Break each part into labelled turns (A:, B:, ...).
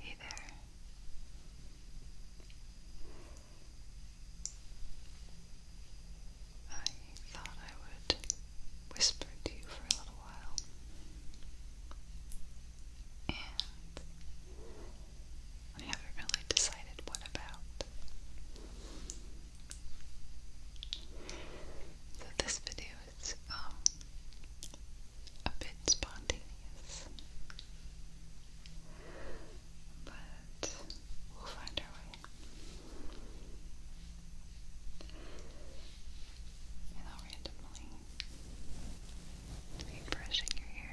A: Hey there. I thought I would whisper to you for a little while I haven't really decided what about. So this video is um, a bit spontaneous. But we'll find our way. And I'll randomly be brushing your hair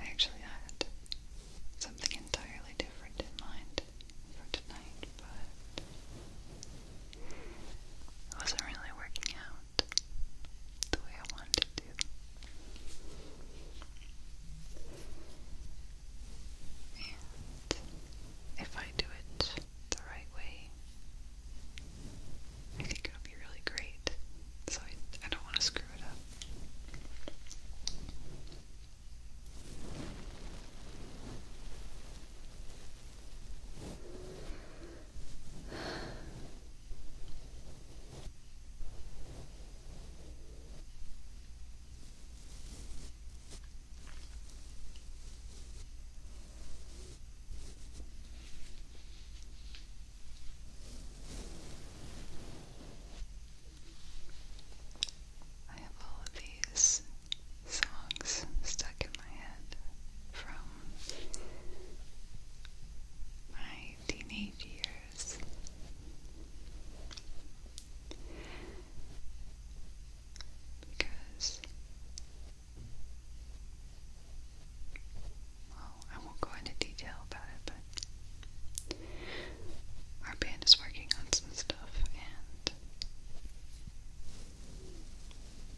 A: I actually had something entirely different in mind for tonight, but it wasn't really working out the way I wanted to. And if I do it the right way, I think it would be really great. So I, I don't want to screw it up. I have all of these songs stuck in my head from my teenage years. Because well, I won't go into detail about it, but our band is working on some stuff and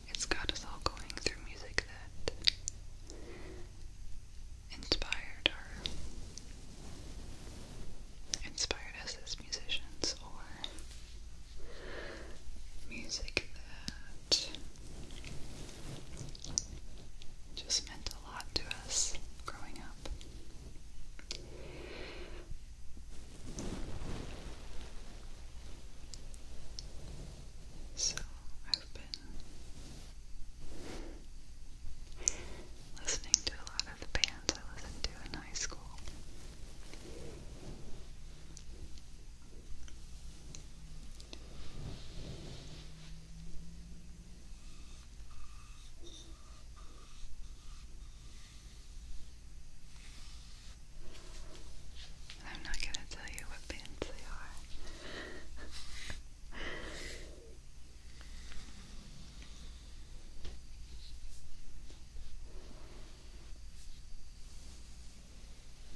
A: it's got us all going through music that inspired inspired us as musicians or music that just meant a lot to us growing up. So, I've been listening to a lot of the bands I listened to in high school. I'm not going to tell you what bands they are.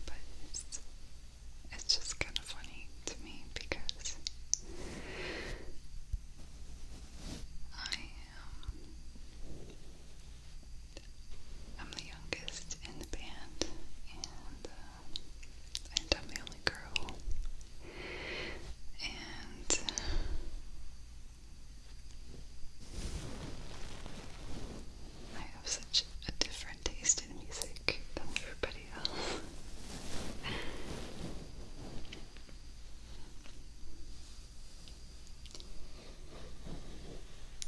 A: But it's, just kind of funny to me because I am. I'm the youngest in the band, and, uh, and I'm the only girl. And I have such a different taste in music than everybody else.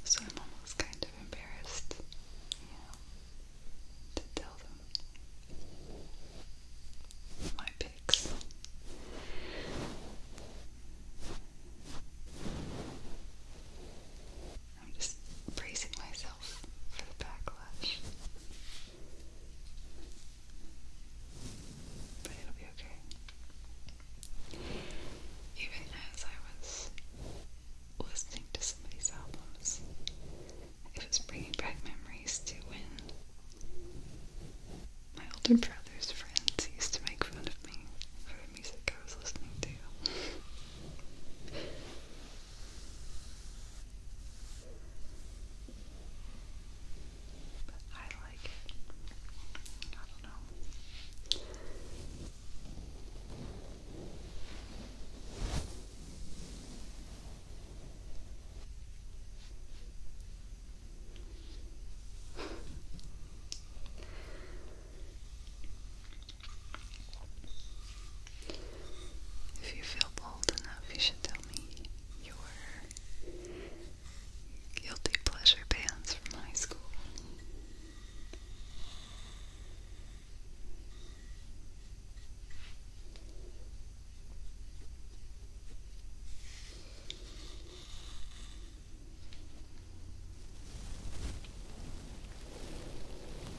A: so I'm almost kind of embarrassed, to tell them my picks. I'm just bracing myself for the backlash. But it'll be okay. Even as I was listening to some albums, it was bringing back memories to when my older brother's friends used to make fun of me for the music I was listening to. But I like I don't know. If you feel bold enough, you should tell me your guilty pleasure bands from high school.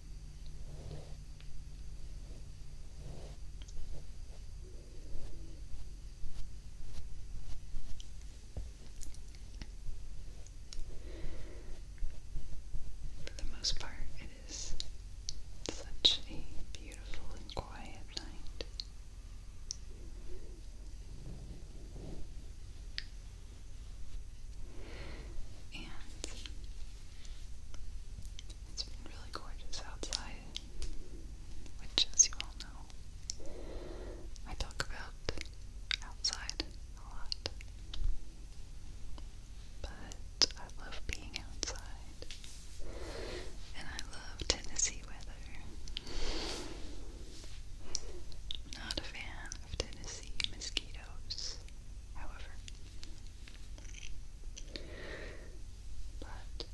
A: For the most part, it is such a beautiful and quiet night. And it really gorgeous outside, which, as you all know, I talk about outside a lot. But I love being outside, and I love Tennessee weather. I'm not a fan of Tennessee mosquitoes, however. But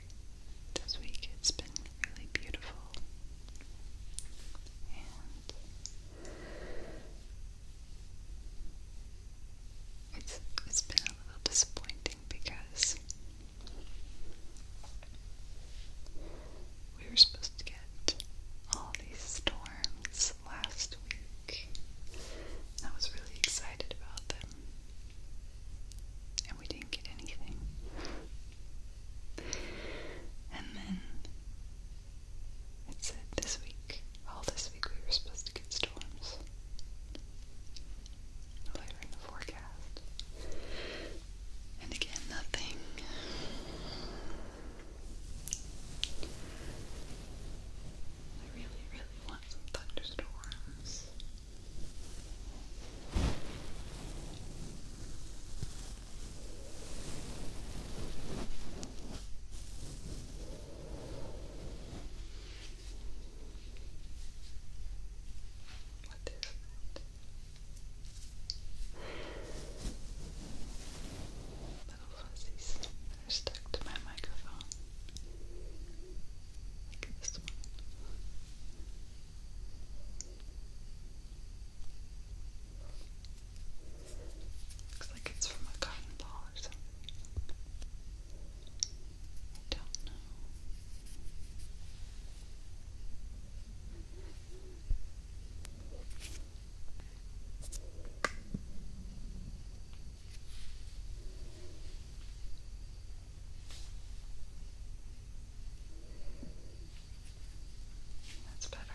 A: this week it's been really beautiful, and it's it's been a little disappointing because we were supposed to get all these storms last week. I was really excited about them. And we didn't get anything. And then it said this week, all this week we were supposed to get storms. Later in the forecast. And again, nothing. I really, really want some thunderstorms. What is that? Little fuzzies. They're stuck to my microphone. Look at this one. Looks like it's from a cotton ball or something. I don't know. That's better.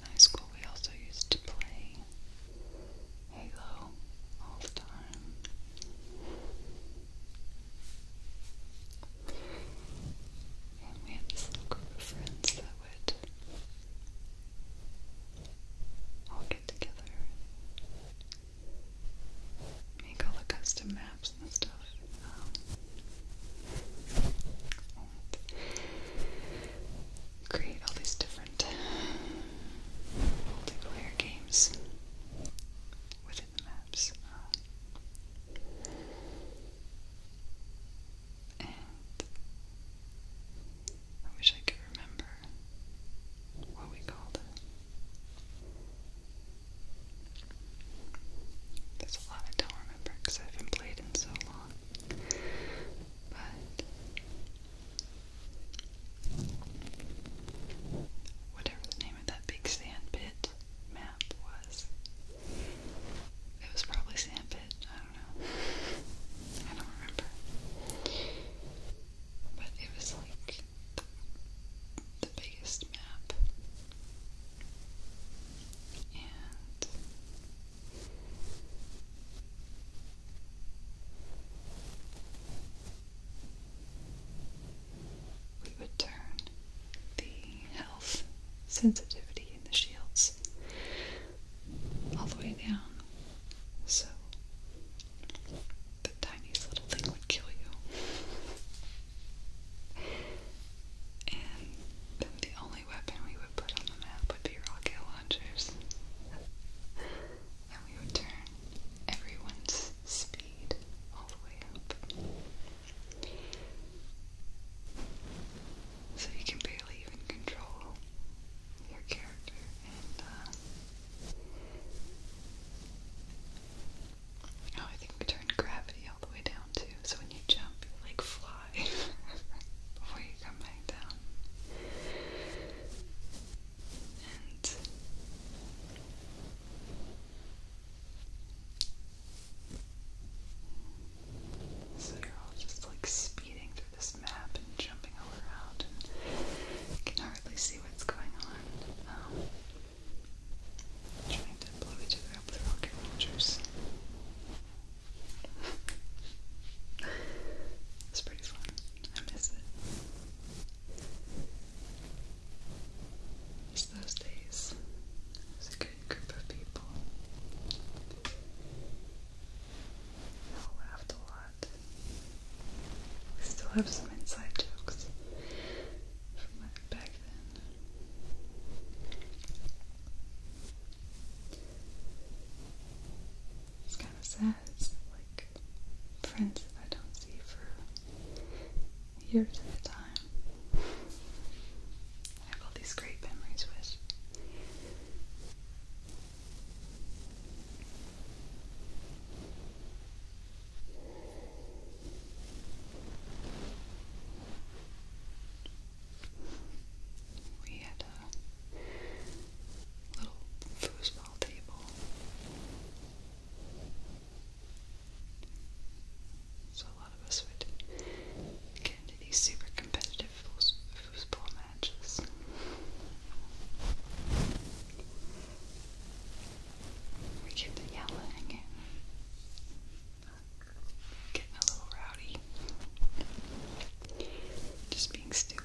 A: in high school, we also used to play Halo all the time. And we had this group of friends that would all get together, make all the custom maps and stuff. Um, create all these different multiplayer games within the maps. and I wish I could remember what we called it. There's a lot I don't remember because I haven't played in so long. But whatever the name of that big sand map was, it was probably sand pit. I don't know. I don't remember. But it was like the, biggest map. We would turn the health sensitivity in the shields all the way down so the tiniest little thing would kill you. And the only weapon we would put on the map would be rocket launchers. and we would turn everyone's speed all the way up. So you can barely even control your character uh, Oh, I think we turned gravity all the way down too. So when you jump, you like fly high before you come back down. And so you're all just like speeding through this map and jumping around can hardly see what's going on. Um, trying to blow each other up with rocket launchers it's pretty fun. I miss it. It's those days. It was a good group of people. We all laughed a lot. We still have some inside jokes from back then. It's kind of sad. It's like friends that I don't see for years at a time. I have all these great memories with. We had a little foosball table. So a lot of us would get into these super competitive foosball matches. We get the yelling Getting a little rowdy. Just being stupid.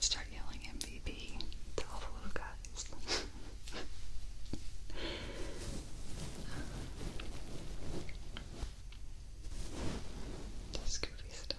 A: start yelling MVP to all the little guys. Just goofy stuff.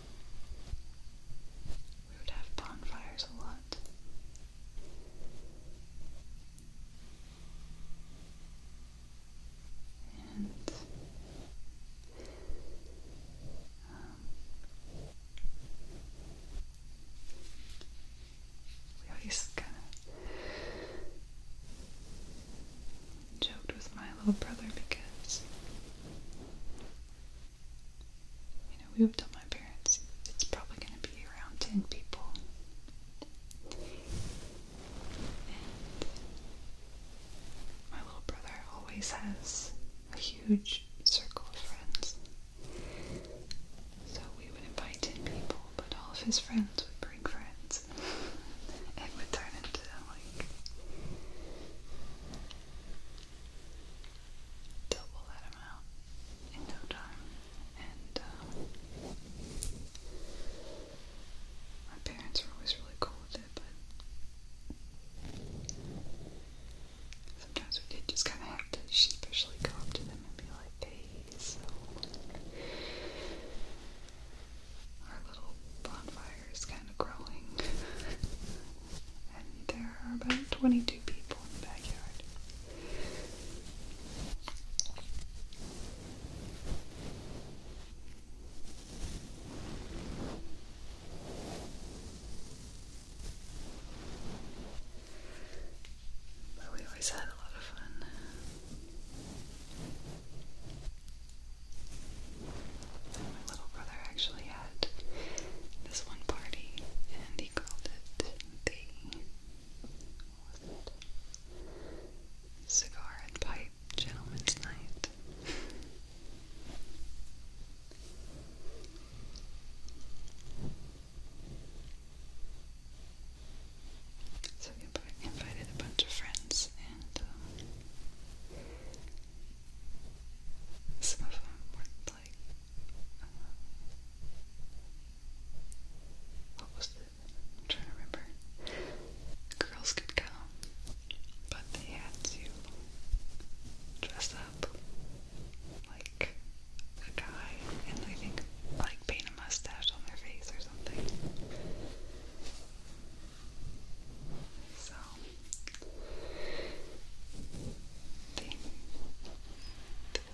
A: We would have bonfires a lot. And um, we always kind of joked with my little brother because you know, we would tell my parents it's probably going to be around 10 people. my little brother always has a huge circle of friends. So we would invite 10 people, but all of his friends would bring friends. it would turn into like double that amount in no time. And uh, my parents were always really cool with it, but sometimes we did just kind of have to sheepishly go up to them and be like, hey, so. Our little bonfire fire's kind of growing. and there are about 22 people in the backyard. But we always had a lot of fun. My little brother actually had this one party and he called it the Cigar and Pipe Gentleman's Night. So we invited a bunch of friends and um, some of them weren't like uh, what was it? trying to remember. Girls could come, but they had to dress up like a guy, and I think like paint a mustache on their face or something. So they,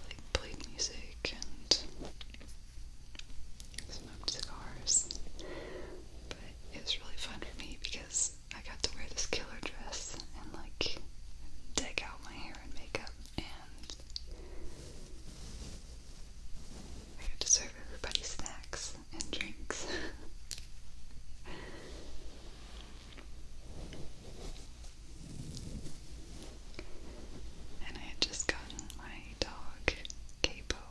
A: like played music and smoked cigars. But it was really fun for me because I got to wear this killer dress and like deck out my hair and makeup and I got to serve everybody snacks and drinks. and I had just gotten my dog, Capo.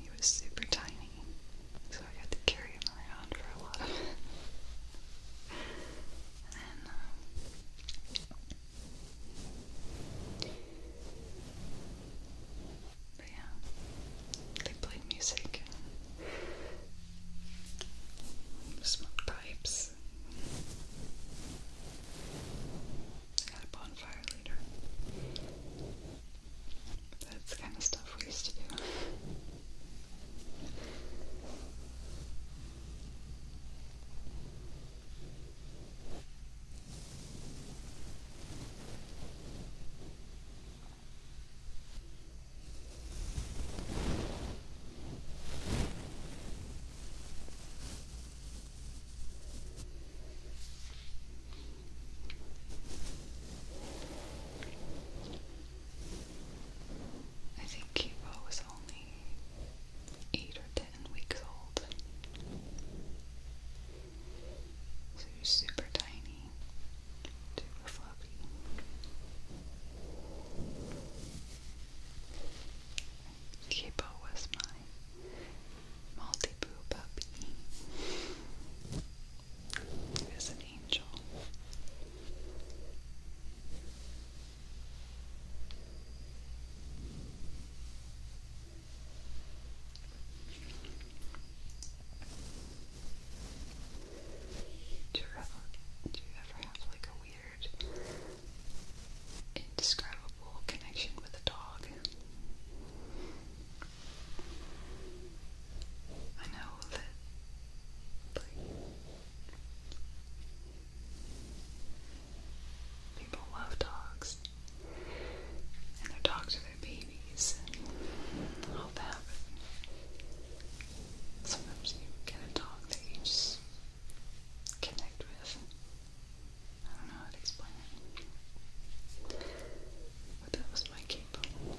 A: He was super tiny, so I had to carry him around for a lot of but yeah, they played music, smoked pipes. They had a bonfire later. That's kind of stuff we used to do. I think Kibo was only eight or ten weeks old. So super tiny to floppy. Kipo was my multi puppy. He was an angel. Do you ever, do you ever have like a weird, indescribable connection with a dog? I know that like, people love dogs and their dogs are their babies and all that. sometimes you get a dog that you just connect with. I don't know how to explain it. that was my cable.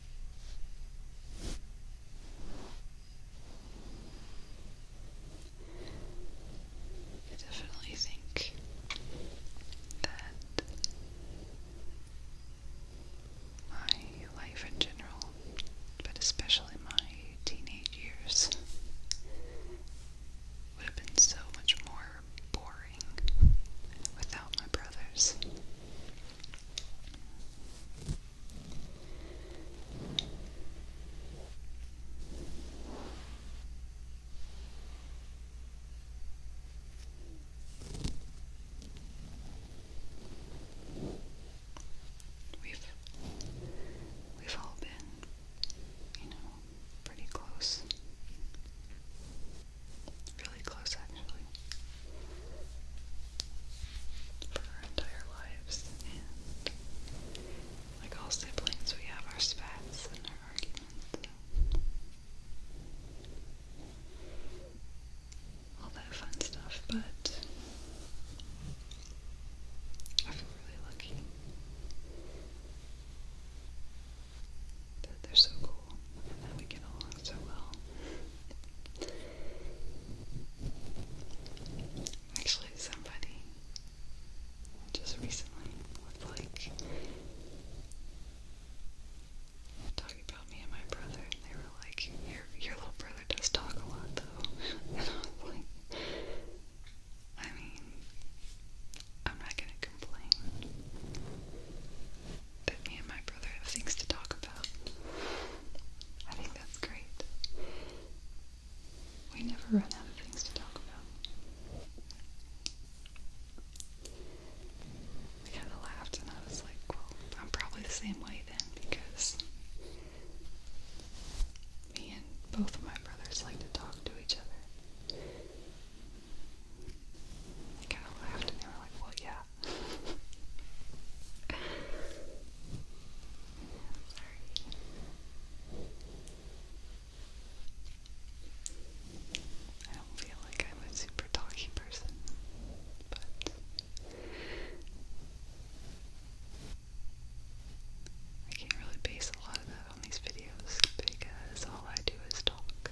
A: I definitely think that my life in general, but especially my teenage years, would have been so much more boring without my brothers. We've we've all been, you know, pretty close. Really close, actually. For our entire lives. And like all siblings, we have our spats and our arguments. All that fun stuff, but I feel really lucky they're so close school that we get along so well. Actually, somebody just recently was like talking about me and my brother, and they were like, "Your your little brother does talk a lot, though." And I was like, "I mean, I'm not gonna complain." that me and my brother have things to talk about. I think that's great. We never run out of things to talk about. I kind of laughed and I was like, well, I'm probably the same way then because me and both of my brothers like to talk to each other. I kind of laughed and they were like, well, yeah, I don't feel like I'm a super talky person, but I can't really base a lot of that on these videos because all I do is talk.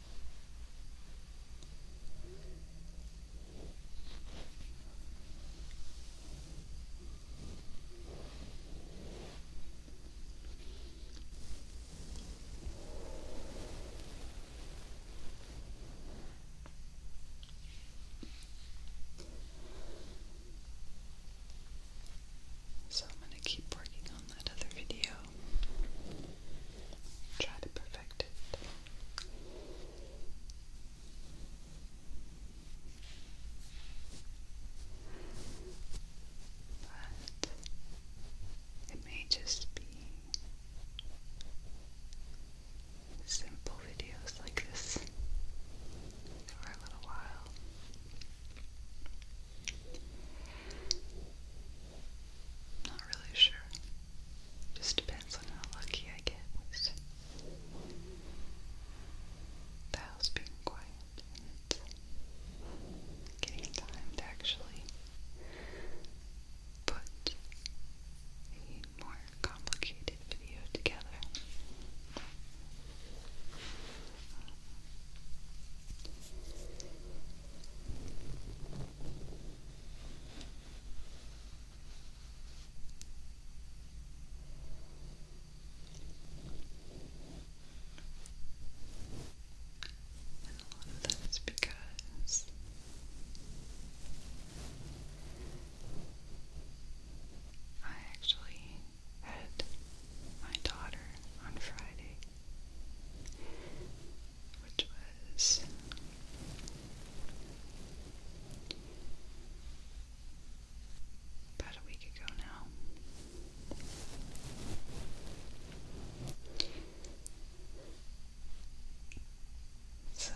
A: So I'm going to keep working on that other video. Try to perfect but it may just be simple videos like this for a little while. Not really sure just depends on how lucky I get the house being quiet getting time to actually put a more complicated video together. And a lot of that is because I actually had my daughter on Friday which was about a week ago now. So,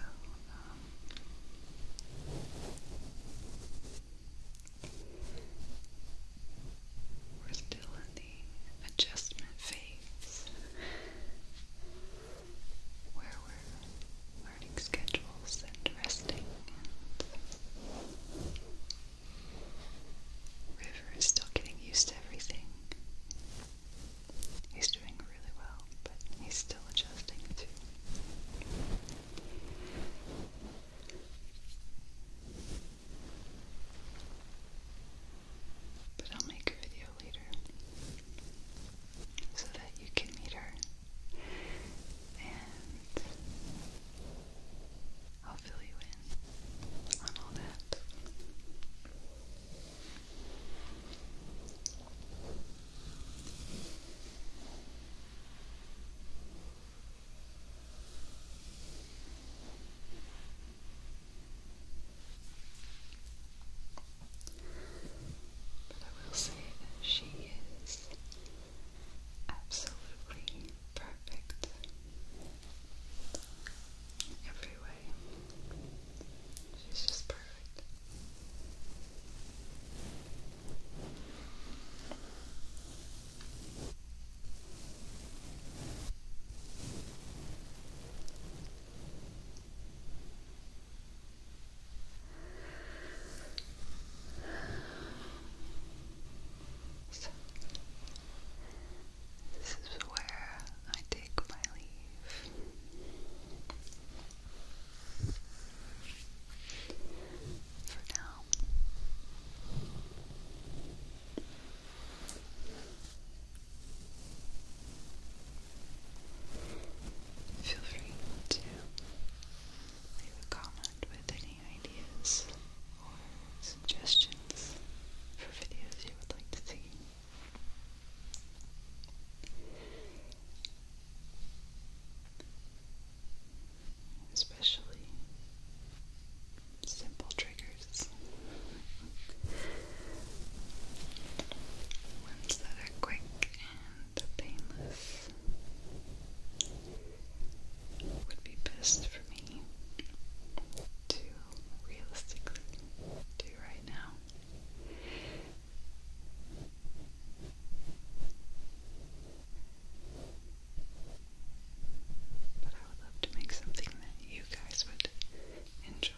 A: we're still in adjustment phase where we're learning schedules and resting River is still getting used to everything. He's doing really well, but he's still adjusting too. But I'll make a video later so that you can meet her. And I'll fill you in on all that. But I will say that she is absolutely perfect every way. She's just perfect. So, this is where I take my leave. For now. Feel free to leave a comment with any ideas or suggestions for videos you would like to see. Especially simple triggers. Ones that are quick and painless would be best for me to realistically do right now. But I would love to make something that you guys would enjoy.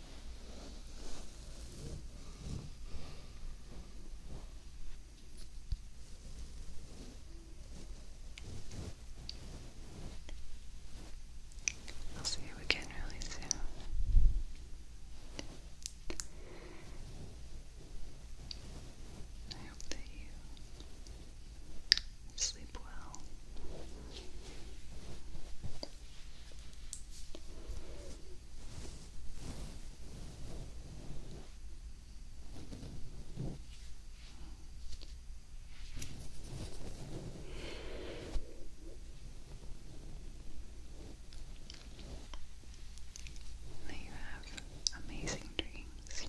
A: I'll see you again really soon. I hope that you sleep well May you have amazing dreams.